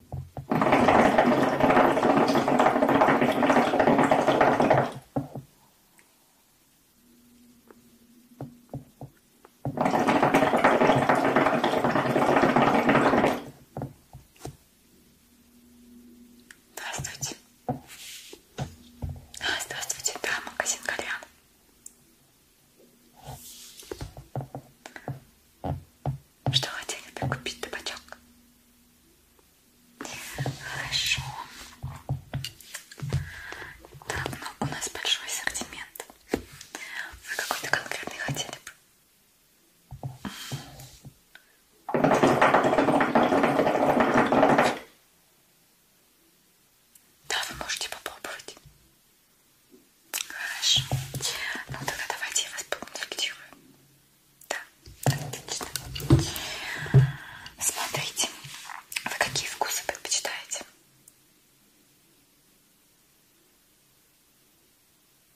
Здравствуйте. А, здравствуйте, да, магазин Кальян. Что хотели бы купить табачок? Хорошо. Так, ну у нас большой ассортимент. Вы какой-то конкретный хотели бы? Да, вы можете попробовать. Хорошо. Ну тогда давайте я вас поконтактирую. Да, отлично. Смотрите, вы какие вкусы предпочитаете?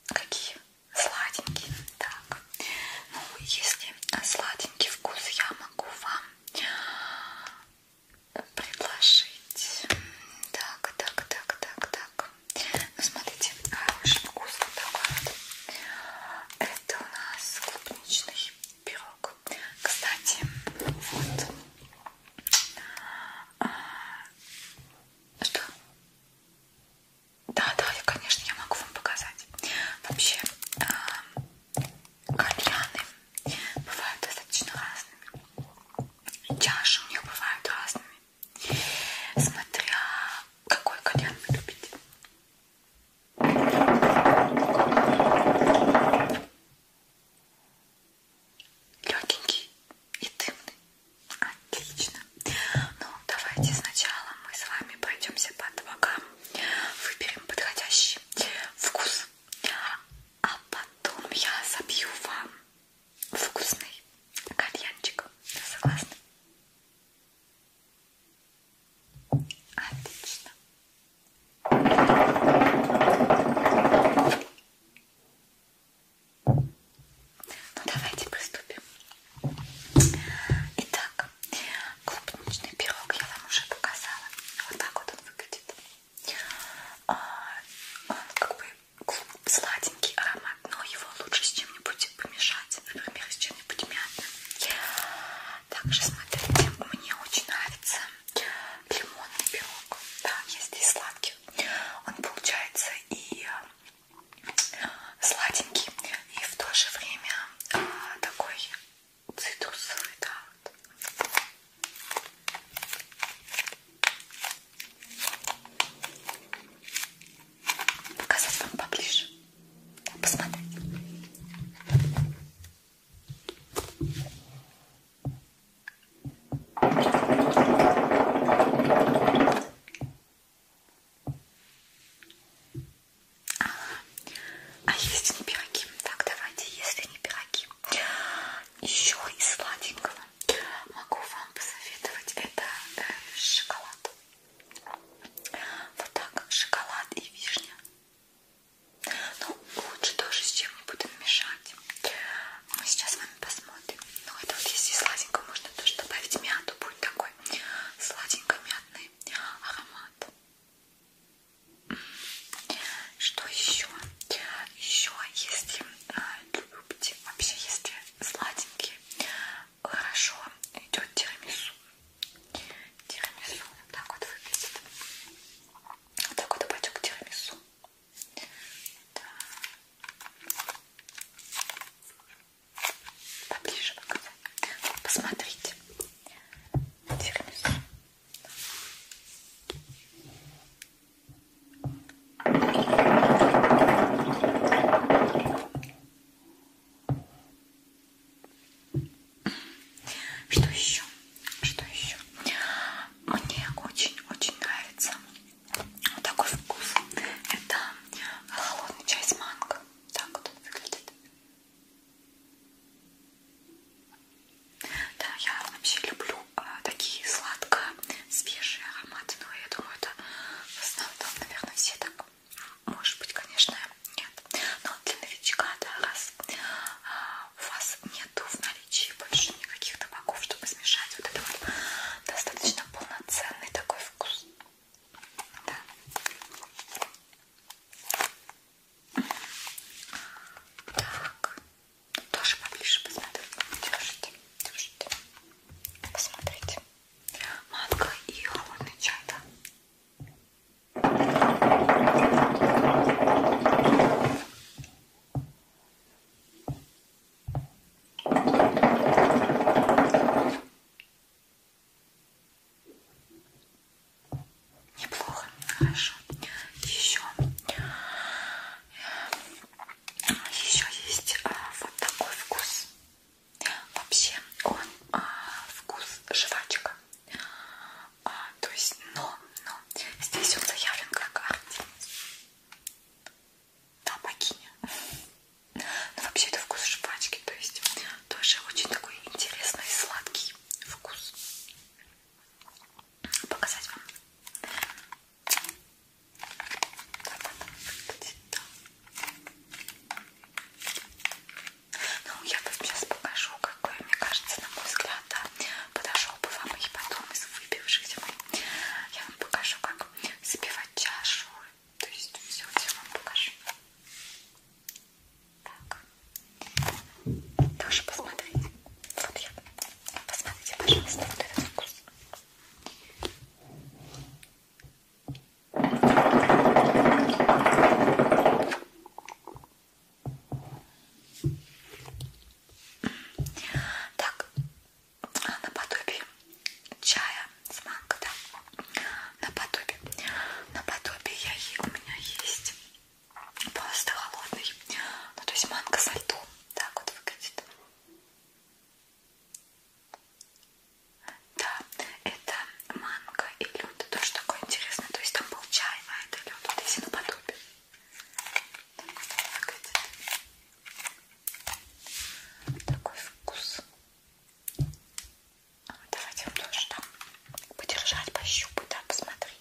Какие? Сладенькие. Так. Ну, если сладенький вкус, я могу вам предложить. Так, так, так, так, так. Ну, смотрите, а, очень вкусный такой вот. Это у нас клубничный пирог. Кстати, вот. А, что? Да, да, конечно, я могу вам показать. Вообще, а, кальяны бывают достаточно разными. Чаши у них бывают разными. Смотря какой кальян вы любите. Легенький и дымный. Отлично. Ну, давайте сначала мы с вами пройдемся по табакам, выберем подходящий вкус, а потом я забью вам вкусный кальянчик. Согласна? Отлично. Ну давайте приступим. Итак, клубничный пирог я вам уже показала. Вот так вот он выглядит. А, он как бы сладенький аромат, но его лучше с чем-нибудь помешать, например, с чем-нибудь мятным. Также, смотрите, мне очень нравится лимонный пирог. Да, я здесь сладкий. Он получается и э, сладенький, и в то же время э, такой цитрусовый, да. Вот. Показать вам поближе. Посмотреть. А если не пироги? Так, давайте, если не пироги. Еще и сладенького вкусно. Могу вам посоветовать это э, шоколад. Вот так, шоколад и вишня. Ну, лучше тоже с чем-нибудь мешать. Мы сейчас с вами посмотрим. Ну, это вот если сладенько, можно тоже добавить мяту. Будет такой сладенько-мятный аромат. Что еще? Еще, если любите. Вообще, если сладенькие, хорошо идет тирамису. Тирамису вот так вот выглядит. Вот так вот пачок тирамису. Да. Поближе показать. Посмотрите. Тирамису. Что еще? Что еще? Мне очень-очень нравится вот такой вкус. Это холодный чай с манго. Так вот он выглядит. Да, я вообще люблю Э, такие сладко свежие ароматы, но я думаю, это в основном, наверное, все так. Может быть, конечно, нет. Но для новичка, да, раз а, у вас нету в наличии больше никаких табаков, чтобы смешать вот это вот достаточно полноценный такой вкус. Да. Так тоже поближе посмотрите. Держите, держите. Посмотрите. Манго и холодный чай, да? Неплохо, хорошо. Еще еще есть а, вот такой вкус. Вообще он а, вкус жвачка. А, то есть, но, но здесь он заявлен как арти. Да, богиня. Но ну, вообще это вкус жвачки, то есть тоже очень такой интересный сладкий вкус. Показать вам. Ну, я вам сейчас покажу, какой, мне кажется, на мой взгляд, да, подошел бы вам и потом из выбившихся. Я вам покажу, как забивать чашу. То есть все, все вам покажу. Так. Тоже посмотрите. Вот я Посмотрите, пожалуйста, вот этот вкус. Так, а, наподобие чая с манго, да? Наподобие. Наподобие я, у меня есть просто холодный. Ну, то есть манго со льдом так вот выглядит. Да, это манго и лед. Тоже такое интересное. То есть там был чай, а это лед. Вот если наподобие. Так выглядит. Такой вкус. Ну, давайте его тоже там подержать, пощупать, да, посмотри.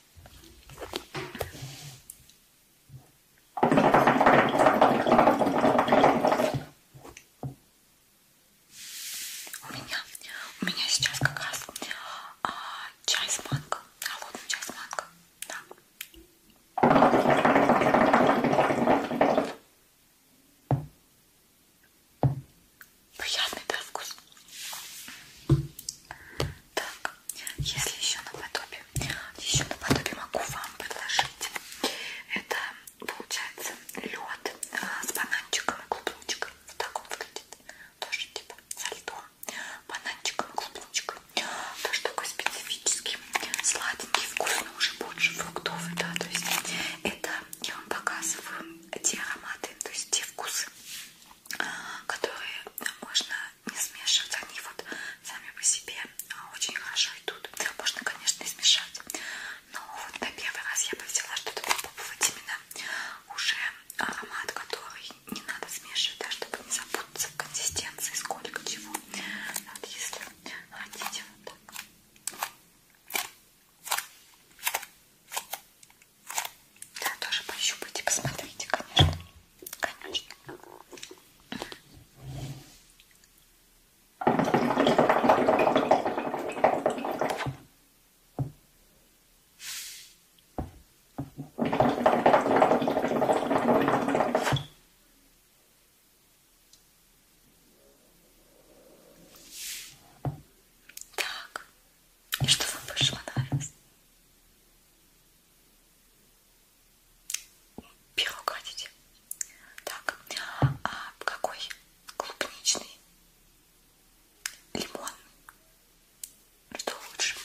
У меня, у меня сейчас как раз а, чай с манго, холодный чай с манго, да. Приятный да, вкус. Так, если еще наподобие, еще наподобие могу вам предложить. Это получается лед э, с бананчиком и клубничкой. Вот так он выглядит. Тоже типа со льдом, бананчиком и клубничкой. Тоже такой специфический, сладенький, вкусный, уже больше фруктовый, да, то есть это я вам показываю те ароматы, то есть те вкусы, э, которые можно не смешивать. Они вот сами по себе а, очень хорошо идут. Можно, конечно, и смешать. Но вот на первый раз я бы взяла что-то попробовать именно уже а, аромат, который не надо смешивать, да, чтобы не запутаться в консистенции, сколько чего. Вот если хотите вот так. Да, тоже пощупайте, посмотрите, конечно. Конечно. Так, и что вам больше понравилось? Пирог хотите? Так, а какой? Клубничный? Лимон? Что лучше?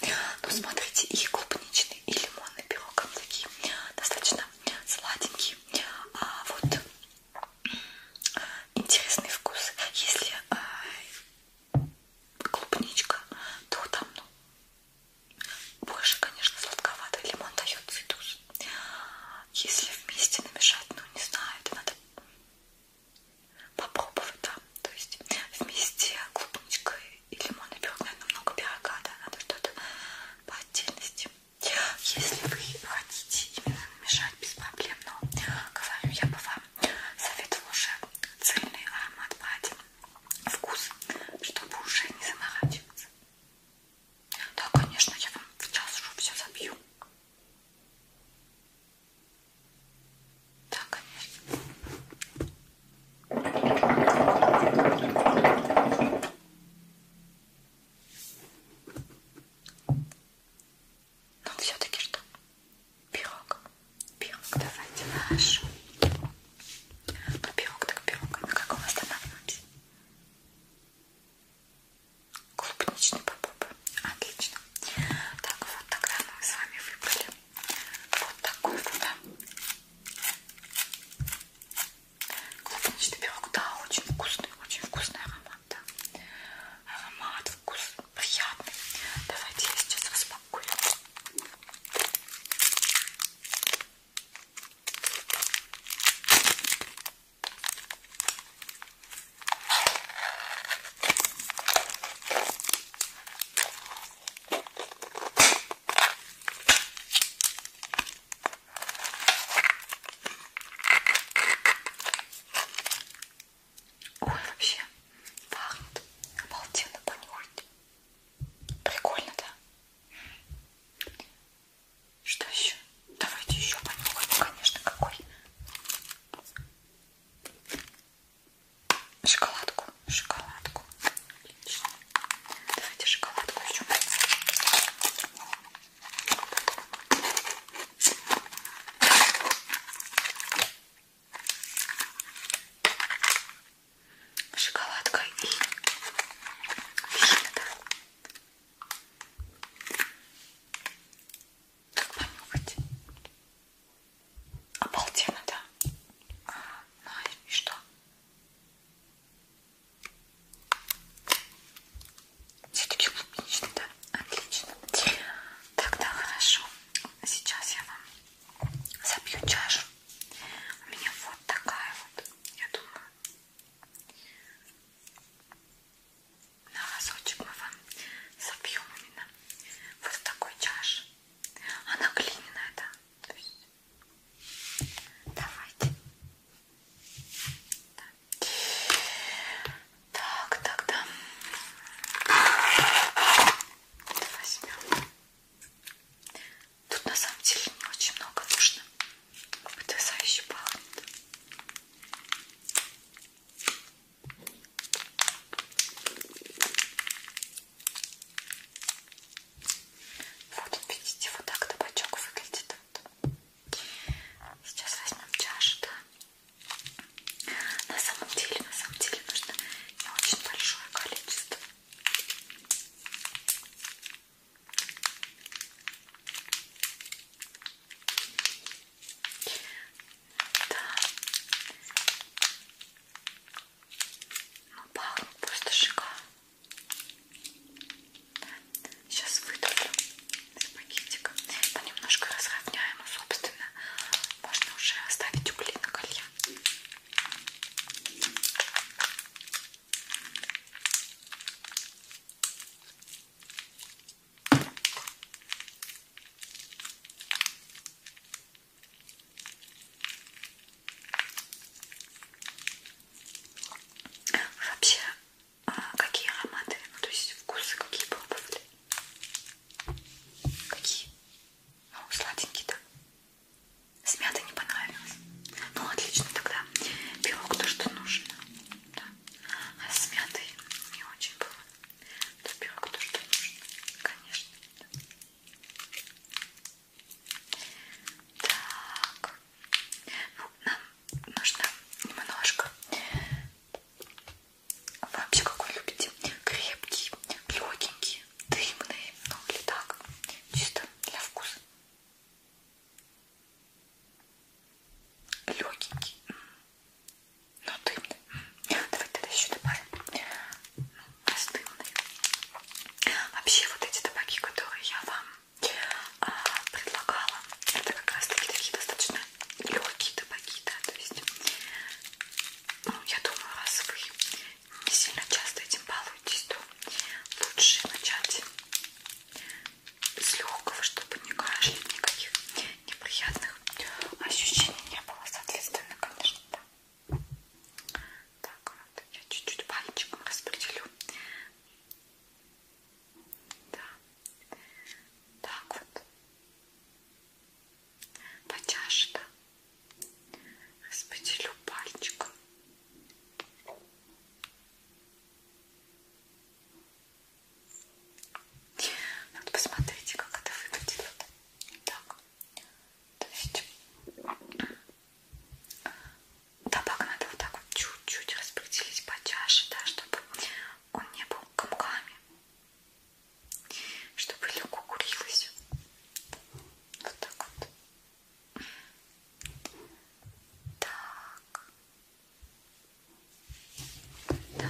Ну, смотрите, и клубничный, и лимонный пирог. Такие достаточно сладенькие. А вот интересный вкус. Если а, клубничка, то там, ну, больше, конечно, сладковатый лимон дает цитус. Если вместе намешать, ну не знаю, это надо попробовать, да. То есть вместе клубничка и лимонный пирог, наверное, много пирога, да, надо что-то по отдельности. Если вы хотите именно намешать без проблем, но говорю, я бы вам советовала уже цельный аромат брать вкус, чтобы уже не заморачиваться. Да, конечно, я вам в час уже все забью. Да, конечно. Но все-таки что? Пирог. Пирог давайте наш. Ну, пирог так пирог. А на каком останавливаемся? Клубничный попоп. Отлично. Так, вот тогда мы с вами выбрали вот такой вот, да? Клубничный пирог, да, очень вкусный, очень вкусный аромат, да. Аромат, вкус он приятный. Давайте я сейчас распакую. Ой, вообще пахнет. Обалденно понюхать. Прикольно, да? Что еще? Давайте еще понюхаем, ну, конечно, какой. Шоколадку, шоколадку. Отлично. Давайте шоколадку еще шоколадка и вишня, да? Как понюхать? Обалденно, да? А, ну и что? Все-таки клубничный, да? Отлично. Тогда хорошо. Сейчас я вам Забью чашу. У меня вот такая вот, я думаю. На разочек мы вам забьем именно вот в такой чаше. Она глиняная, да? То есть... Давайте. Да. Так, тогда возьмем. Тут на самом деле не очень много нужно. Потрясающе пахнет. Вот, видите, вот так табачок выглядит. Сейчас возьмем чашу, да? На самом деле, на самом деле нужно не очень большое количество. Да. Ну, пахнет просто шикарно. Сейчас выдавлю из пакетика. Понемножку разровняем, собственно, можно уже оставить угли на колье. Вообще, а, какие ароматы, ну то есть вкусы какие пробовали? Какие? Ну, а сладенький, да? С мятой не понравилось. Ну, отлично тогда. Белок то, что нужно. Да. А с мятой не очень было. Да, белок то, что нужно. Конечно. Да. Так. Ну, нам нужно немножко а вы вообще какой любите? Крепкие, легенькие, дымные, ну или так, чисто для вкуса. Легенький, но ну, дымный. Давай тогда еще добавим раздымные. Ну, вообще вот эти табаки, которые я вам а, предлагала, это как раз таки такие достаточно легкие табаки, да, то есть ну, я думаю, раз вы не сильно часто этим балуетесь, то лучше начать с легкого, чтобы не кашлять, никаких неприятных ощущений не было, соответственно, конечно, да. Так, вот, я чуть-чуть пальчиком распределю. Да. Так вот. Потяжно. Распределю пальчиком. Вот посмотрите, как это выглядит. Так. То есть табак надо вот так вот чуть-чуть распределить по чаше, да, чтобы он не был комками чтобы легко курилось. Вот так вот. Так. Да.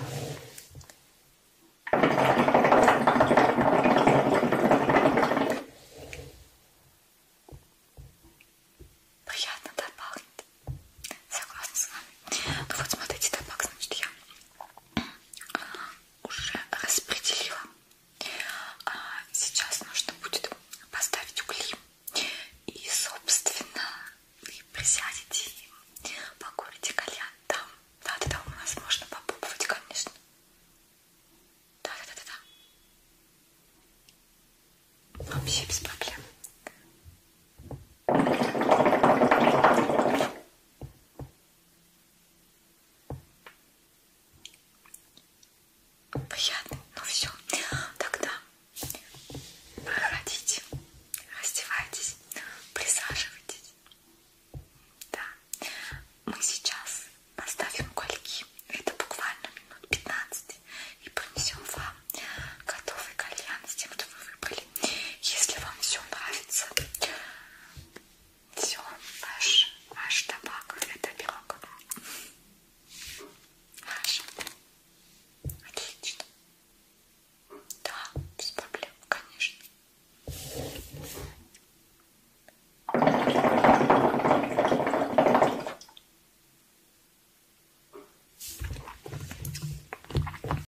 Приятно, да, пахнет? Согласна с вами. Ну вот смотрите, табак, значит, я уже распределила. А сейчас нужно будет поставить угли и, собственно, и присядете и покурите кальян там. Да-да-да, там у нас можно попробовать, конечно. Да-да-да-да-да. Вообще без проблем. Приятно, ну все. Тогда проходите, раздевайтесь, присаживайтесь. Да. Мы сейчас поставим кольки. Это буквально минут 15. И принесем вам готовый кальян с тем, что вы выбрали были. Если вам все нравится, все, ваш, ваш табак, это пирог. Хорошо. Отлично. Да, без проблем, конечно.